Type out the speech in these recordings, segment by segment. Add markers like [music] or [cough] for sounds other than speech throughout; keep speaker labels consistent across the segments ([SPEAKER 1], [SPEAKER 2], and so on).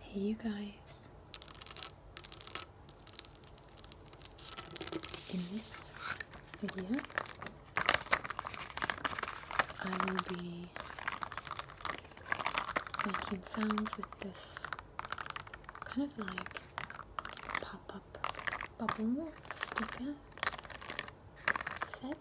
[SPEAKER 1] Hey, you guys. In this video, I will be making sounds with this kind of like pop up bubble sticker set.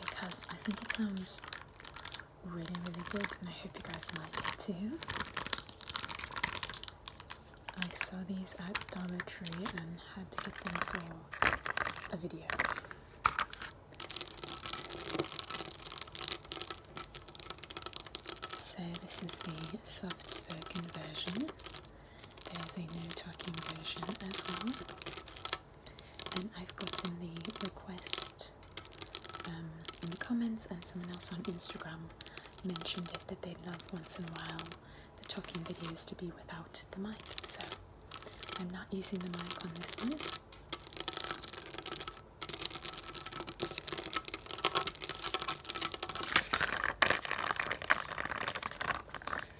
[SPEAKER 1] Because I think it sounds really, really good, and I hope you guys like it too. I saw these at Dollar Tree and had to get them for a video. So this is the soft spoken version. There's a no talking version as well. And I've gotten the request um, in the comments and someone else on Instagram mentioned it that they love once in a while the talking videos to be without the mic. So I'm not using the mic on this one.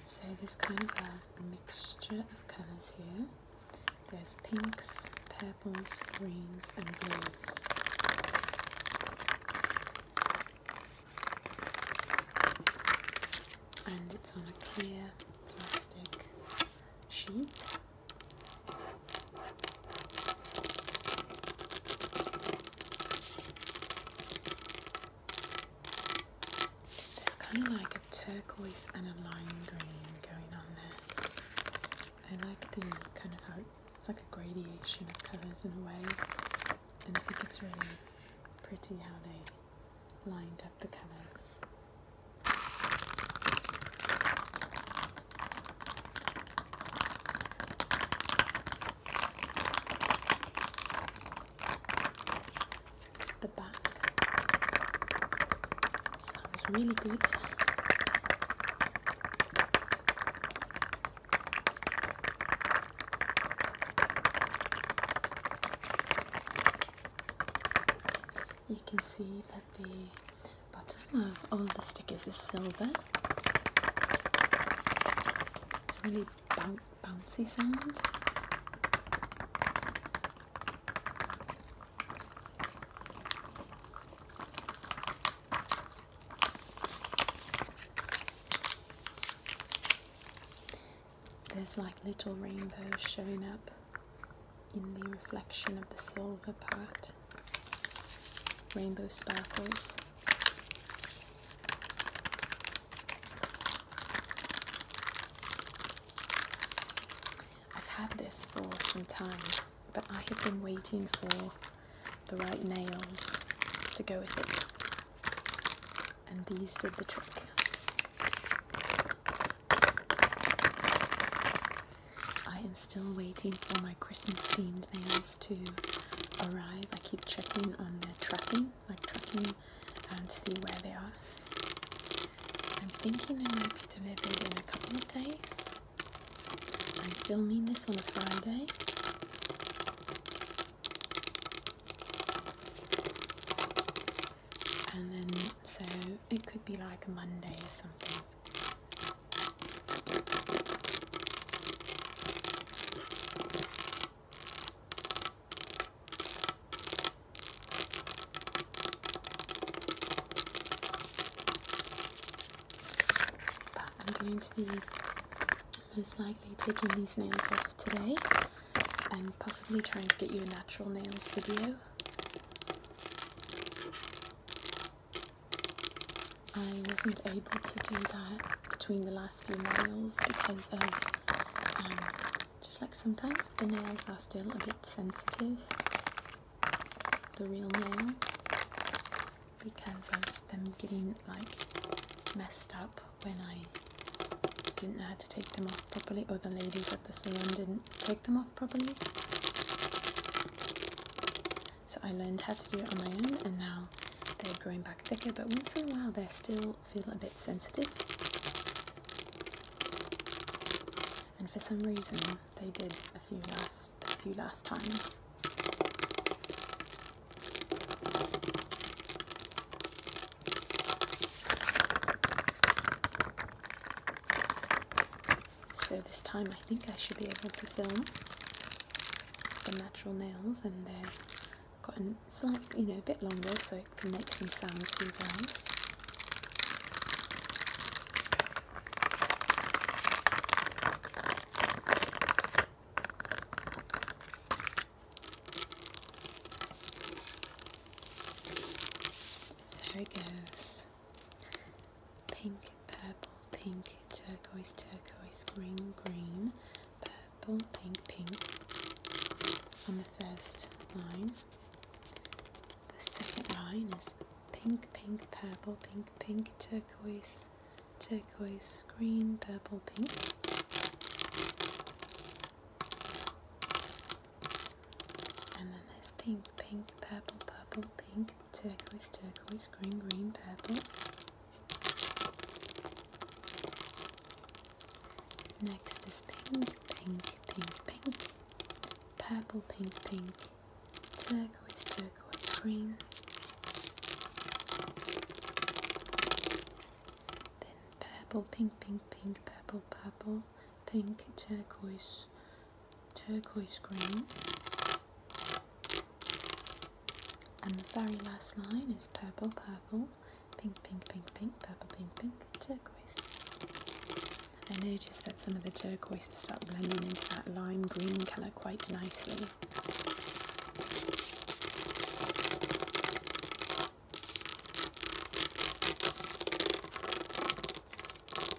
[SPEAKER 1] So there's kind of a mixture of colours here. There's pinks, purples, greens and blues. And it's on a clear plastic sheet. It's kind of like a turquoise and a lime green going on there. I like the kind of how it's like a gradation of colours in a way, and I think it's really pretty how they lined up the colours. The back sounds really good you can see that the bottom of all the stickers is silver. It's a really bouncy sound. There's like little rainbows showing up in the reflection of the silver part, rainbow sparkles. I've had this for some time, but I have been waiting for the right nails to go with it, and these did the trick. I am still waiting for my Christmas themed nails to arrive. I keep checking on their tracking, like tracking and um, see where they are. I'm thinking they might be delivered in a couple of days. I'm filming this on a Friday and then so it could be like Monday or something. But I'm going to be most likely taking these nails off today and possibly trying to get you a natural nails video I wasn't able to do that between the last few nails because of um, just like sometimes the nails are still a bit sensitive, the real nail, because of them getting like messed up when I didn't know how to take them off properly or the ladies at the salon didn't take them off properly. So I learned how to do it on my own, and now they're growing back thicker. But once in a while, they still feel a bit sensitive. And for some reason, they did a few last few last times. So this time I think I should be able to film the natural nails and they've gotten slight, you know, a bit longer so it can make some sounds for you guys. So here it goes. Pink, purple, pink, turquoise, turquoise, green, green, purple, pink, pink on the first line. The second line is pink, pink, purple, pink, pink, turquoise, turquoise, green, purple, pink. And then there's pink, pink, purple, purple, pink, turquoise, turquoise, green, green, purple. Next is pink, pink, pink, pink, purple, pink, pink, turquoise, turquoise, green. Then purple, pink, pink, pink, purple, purple, pink, turquoise, turquoise green and the very last line is purple purple pink pink pink pink purple pink pink turquoise I noticed that some of the turquoises start blending into that lime green colour quite nicely I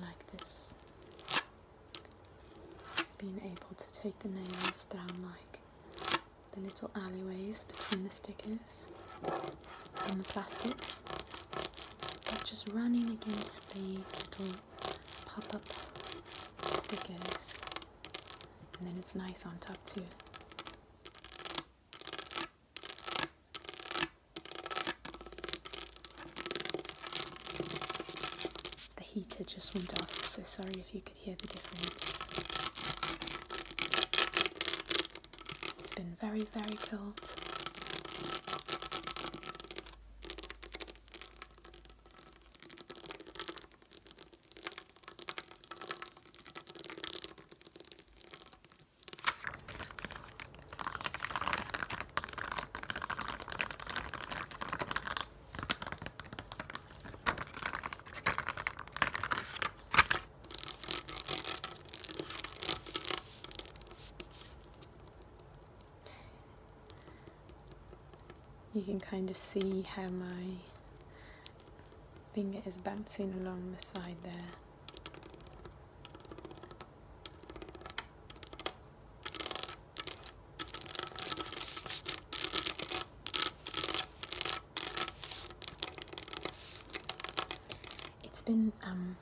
[SPEAKER 1] like this being able to take the nails down like the little alleyways between the stickers in the plastic. just running against the little pop-up stickers. And then it's nice on top too. The heater just went off, so sorry if you could hear the difference. It's been very, very cold. You can kind of see how my finger is bouncing along the side there. It's been um,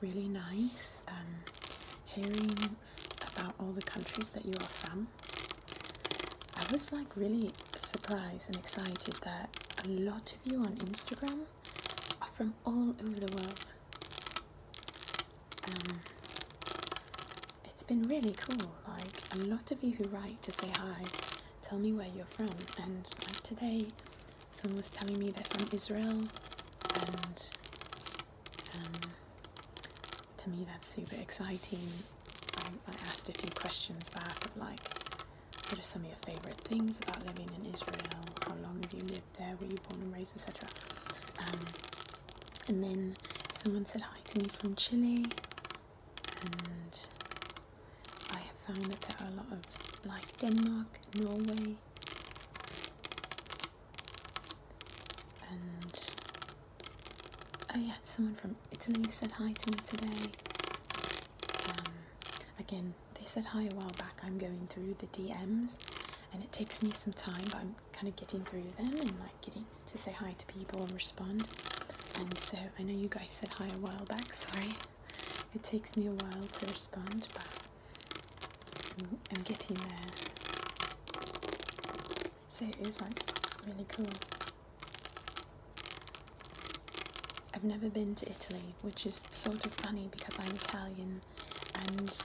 [SPEAKER 1] really nice um, hearing about all the countries that you are from. I was like really surprised and excited that a lot of you on Instagram are from all over the world. Um, it's been really cool, like a lot of you who write to say hi, tell me where you're from, and today someone was telling me they're from Israel, and um, to me that's super exciting. I, asked a few questions back of like, what are some of your favourite things about living in Israel? How long have you lived there? Were you born and raised, etc. Um, and then someone said hi to me from Chile, and I have found that there are a lot of like Denmark, Norway, and oh yeah, someone from Italy said hi to me today. Um, again, they said hi a while back. I'm going through the DMs, and it takes me some time, but I'm kind of getting through them and like getting to say hi to people and respond. And so I know you guys said hi a while back. [laughs] Sorry. It takes me a while to respond, but I'm, getting there. So it was like really cool. I've never been to Italy, which is sort of funny because I'm Italian and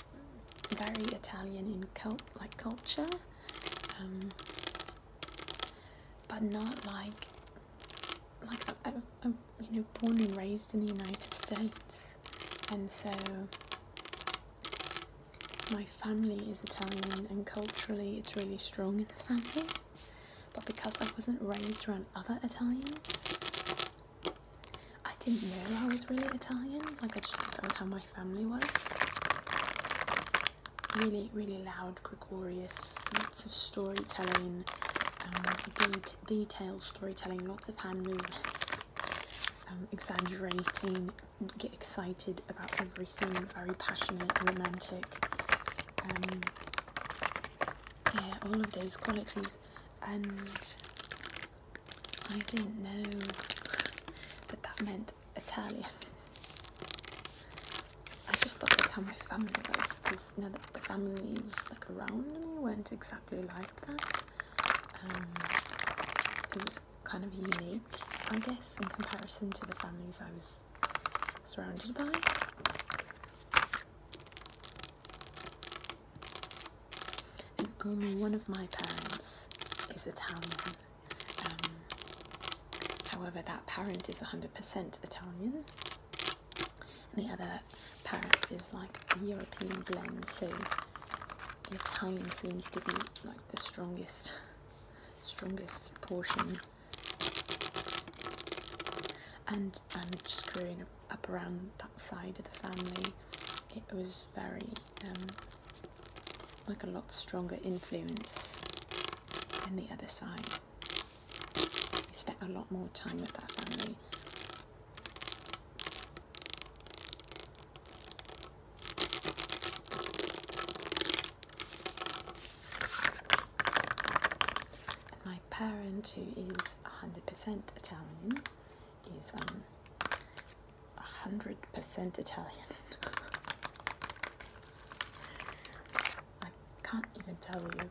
[SPEAKER 1] very Italian in cult like culture, um, but not like like I, do I, you know, born and raised in the United States, and so my family is Italian, and culturally it's really strong in the family. But because I wasn't raised around other Italians, I didn't know I was really Italian. Like I just thought that was how my family was. Really, really loud, gregarious, lots of storytelling. Um, detailed storytelling, lots of hand movements, um, exaggerating, get excited about everything, very passionate, romantic. Um, yeah, all of those qualities. And I didn't know that that meant Italian. I just thought that's how my family was, because now that the family is like around me weren't exactly I really like that. Um, it was kind of unique, I guess, in comparison to the families I was surrounded by. And only um, one of my parents is Italian. Um, however, that parent is 100% Italian. And the other parrot is like the European blend, so the Italian seems to be like the strongest, strongest portion. And I'm just up around that side of the family. It was very um, like a lot stronger influence than the other side. We spent a lot more time with that family my parent, who is 100% Italian, is um, 100% Italian. [laughs] I can't even tell you.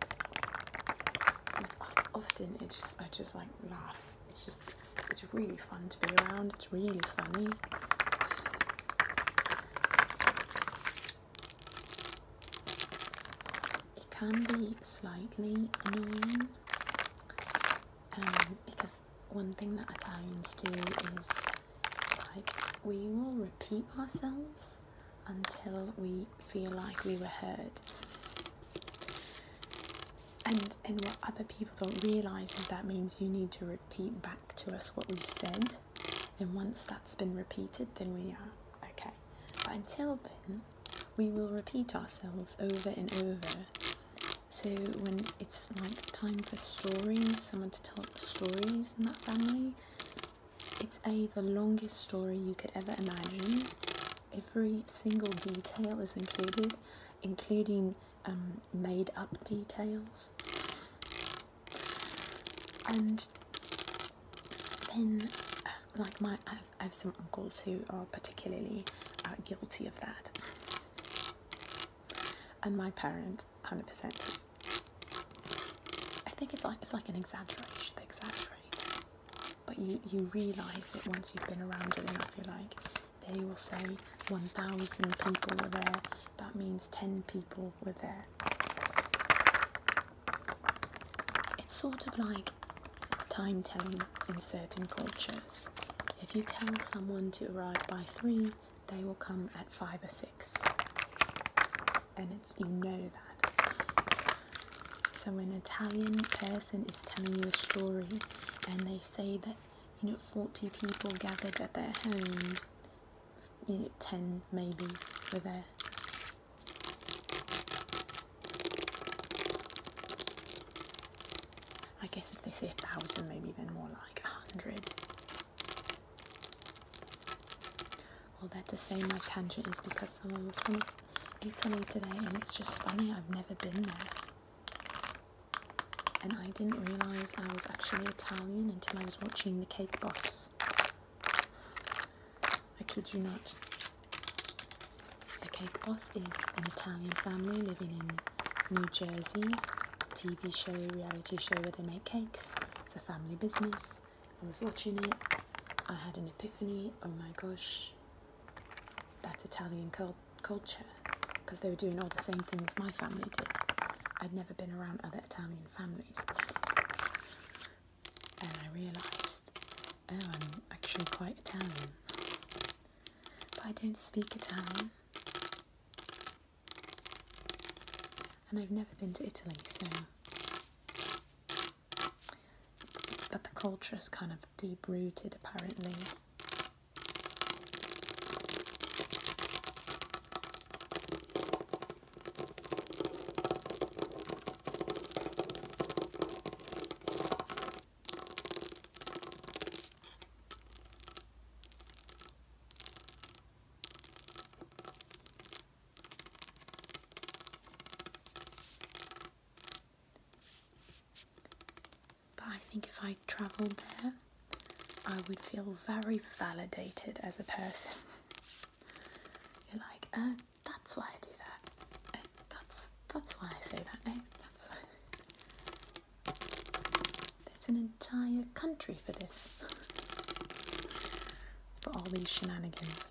[SPEAKER 1] Uh, often it just I just like laugh. It's just it's, it's really fun to be around. It's really funny. It can be slightly annoying um, because one thing that Italians do is like we will repeat ourselves until we feel like we were heard. And, and what other people don't realise is that means you need to repeat back to us what we've said. And once that's been repeated, then we are okay. But until then, we will repeat ourselves over and over. So when it's like time for stories, someone to tell stories in that family, it's a the longest story you could ever imagine every single detail is included, including um, made up details. And then, like, my I have, some uncles who are particularly uh, guilty of that, and my parent, hundred percent. I think it's like it's like an exaggeration. They exaggerate but you, you realise it once you've been around it enough. You're like, they will say 1,000 people were there, that means 10 people were there. It's sort of like time telling in certain cultures. If you tell someone to arrive by 3, they will come at 5 or 6. And it's, you know that. So an Italian person is telling you a story and they say that you know 40 people gathered at their home, you know 10 maybe were there. I guess if they say a thousand, maybe then more like a hundred. All that to say my tangent is because someone was from ate something today and it's just funny, I've never been there. And I didn't realise I was actually Italian until I was watching The Cake Boss. I kid you not. The Cake Boss is an Italian family living in New Jersey. TV show, reality show where they make cakes. It's a family business. I was watching it. I had an epiphany. Oh my gosh, that Italian culture because they were doing all the same things my family did. I'd never been around other Italian families. And I realised, oh, I'm actually quite Italian. But I don't speak Italian. And I've never been to Italy, so but the culture is kind of deep rooted apparently. But I think if I travelled there, I would feel very validated as a person. [laughs] You're like, oh, that's why I do that. Uh, that's that's why I say that. that's why. There's an entire country for this. [laughs] for all these shenanigans.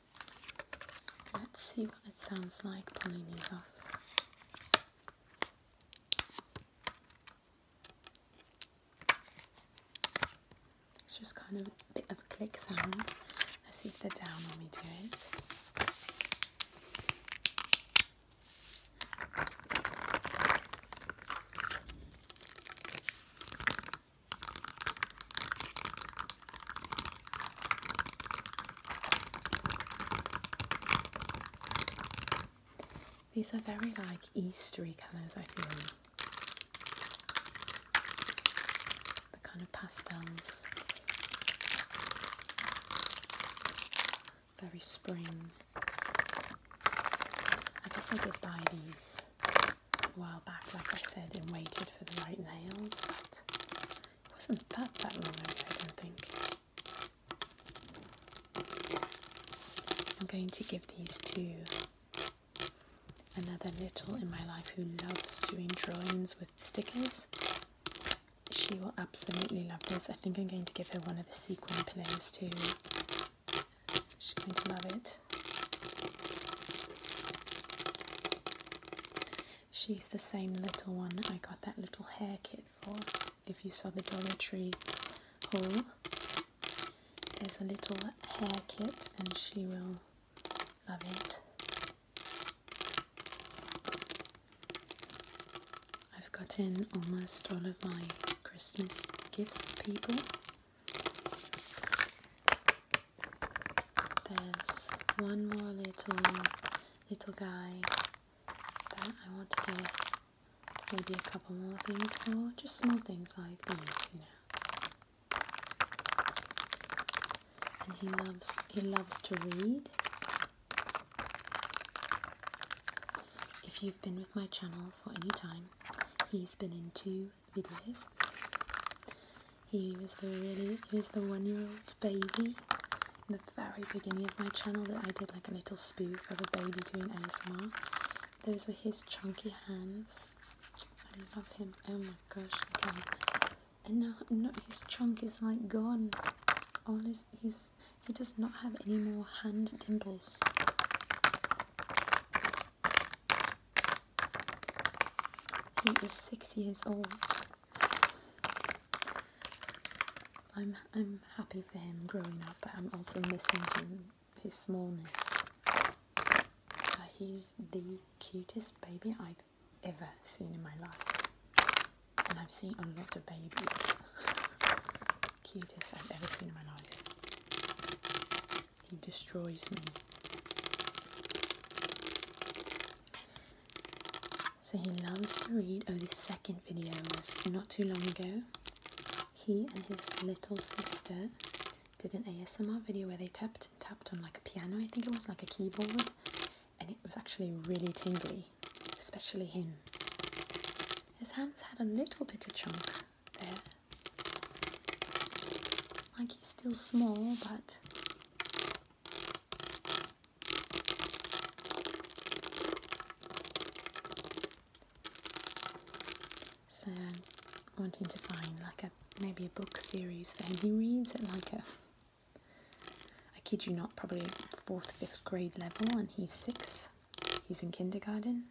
[SPEAKER 1] Let's see what it sounds like pulling these off. It's just kind of a bit of a click sound. Let's see if they're down when we do it. These are very like Eastery colours, I feel. The kind of pastels. Very spring. I guess I did buy these while back, like I said, and waited for the right nails, it wasn't that that long ago, I don't think. I'm going to give these to another little in my life who loves doing drawings with stickers. She will absolutely love this. I think I'm going to give her one of the sequin pillows too. She's going to love it. She's the same little one I got that little hair kit for. If you saw the Dollar Tree haul, there's a little hair kit and she will love it. I've gotten almost all of my Christmas gifts for people there's one more little little guy that I want to get maybe a couple more things for, just small things like these, you know. And he loves he loves to read. If you've been with my channel for any time, he's been in two videos. He was the one-year-old baby the very beginning of my channel that I did like a little spoof of a baby doing ASMR. Those were his chunky hands. I love him. Oh my gosh, okay. And now no, his chunk is like gone. All his he's he does not have any more hand dimples. He is six years old. I'm I'm happy for him growing up, but I'm also missing him his smallness. Uh, he's the cutest baby I've ever seen in my life, and I've seen a lot of babies. [laughs] cutest I've ever seen in my life. He destroys me. So he loves to read. Oh, this second video was not too long ago. He and his little sister did an ASMR video where they tapped tapped on like a piano, I think it was like a keyboard, and it was actually really tingly, especially him. His hands had a little bit of chunk there. Like he's still small, but so I'm wanting to find like a maybe a book series for him. He reads it like a I kid you not, probably fourth, fifth grade level and he's six. He's in kindergarten.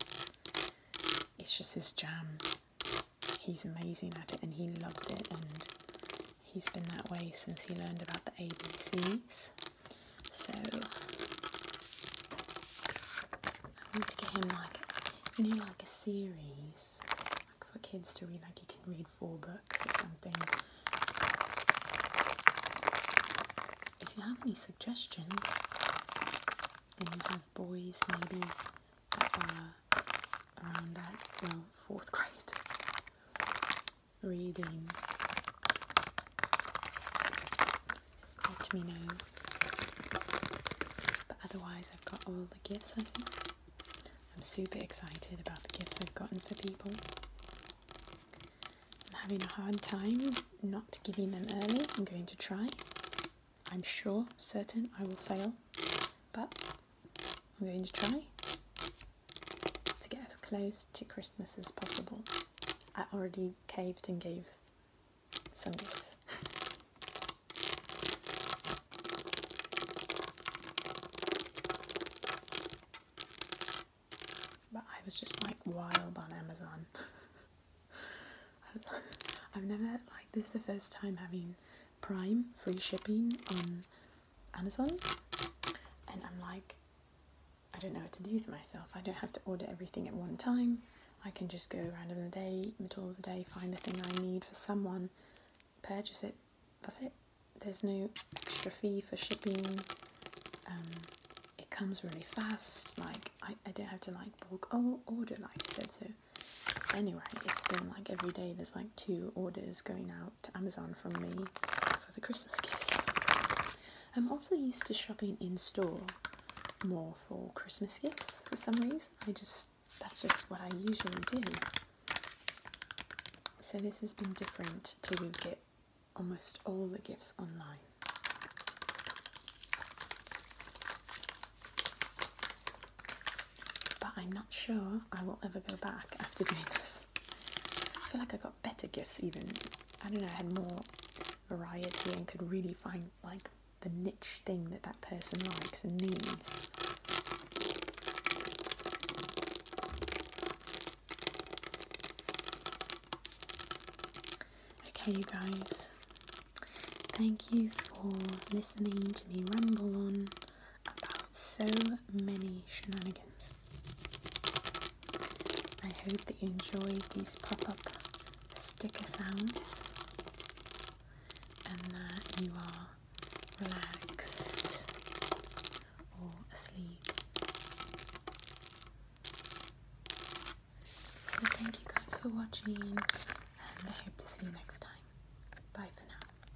[SPEAKER 1] It's just his jam. He's amazing at it and he loves it and He's been that way since he learned about the ABCs. So I want to get him like you like a series like for kids to read like you can read four books or something. If you have any suggestions then you have boys maybe that are around that well fourth grade reading. Let me know. But otherwise, I've got all the gifts I am super excited about the gifts I've gotten for people. I'm having a hard time not giving them early. I'm going to try. I'm sure, certain I will fail, but I'm going to try to get as close to Christmas as possible. I already caved and gave some gifts. but I was just like wild on Amazon. [laughs] I was like, I've never like this is the first time having Prime free shipping on Amazon, and I'm like, I don't know what to do with myself. I don't have to order everything at one time. I can just go around random the day, middle of the day, find the thing I need for someone, purchase it. That's it. There's no extra fee for shipping. Um, it comes really fast. Like I, I don't have to like bulk oh, order like I said. So anyway, it's been like every day. There's like two orders going out to Amazon from me for the Christmas gifts. I'm also used to shopping in store more for Christmas gifts for some reason. I just that's just what I usually do. So this has been different to get almost all the gifts online. But I'm not sure I will ever go back after doing this. I feel like I got better gifts even. I don't know, I had more variety and could really find like the niche thing that that person likes and needs. Okay, you guys, thank you for listening to me ramble on about so many shenanigans. I hope that you enjoyed these pop up sticker sounds and that you are relaxed or asleep. So, thank you guys for watching, and I hope to see you next time. Bye for now.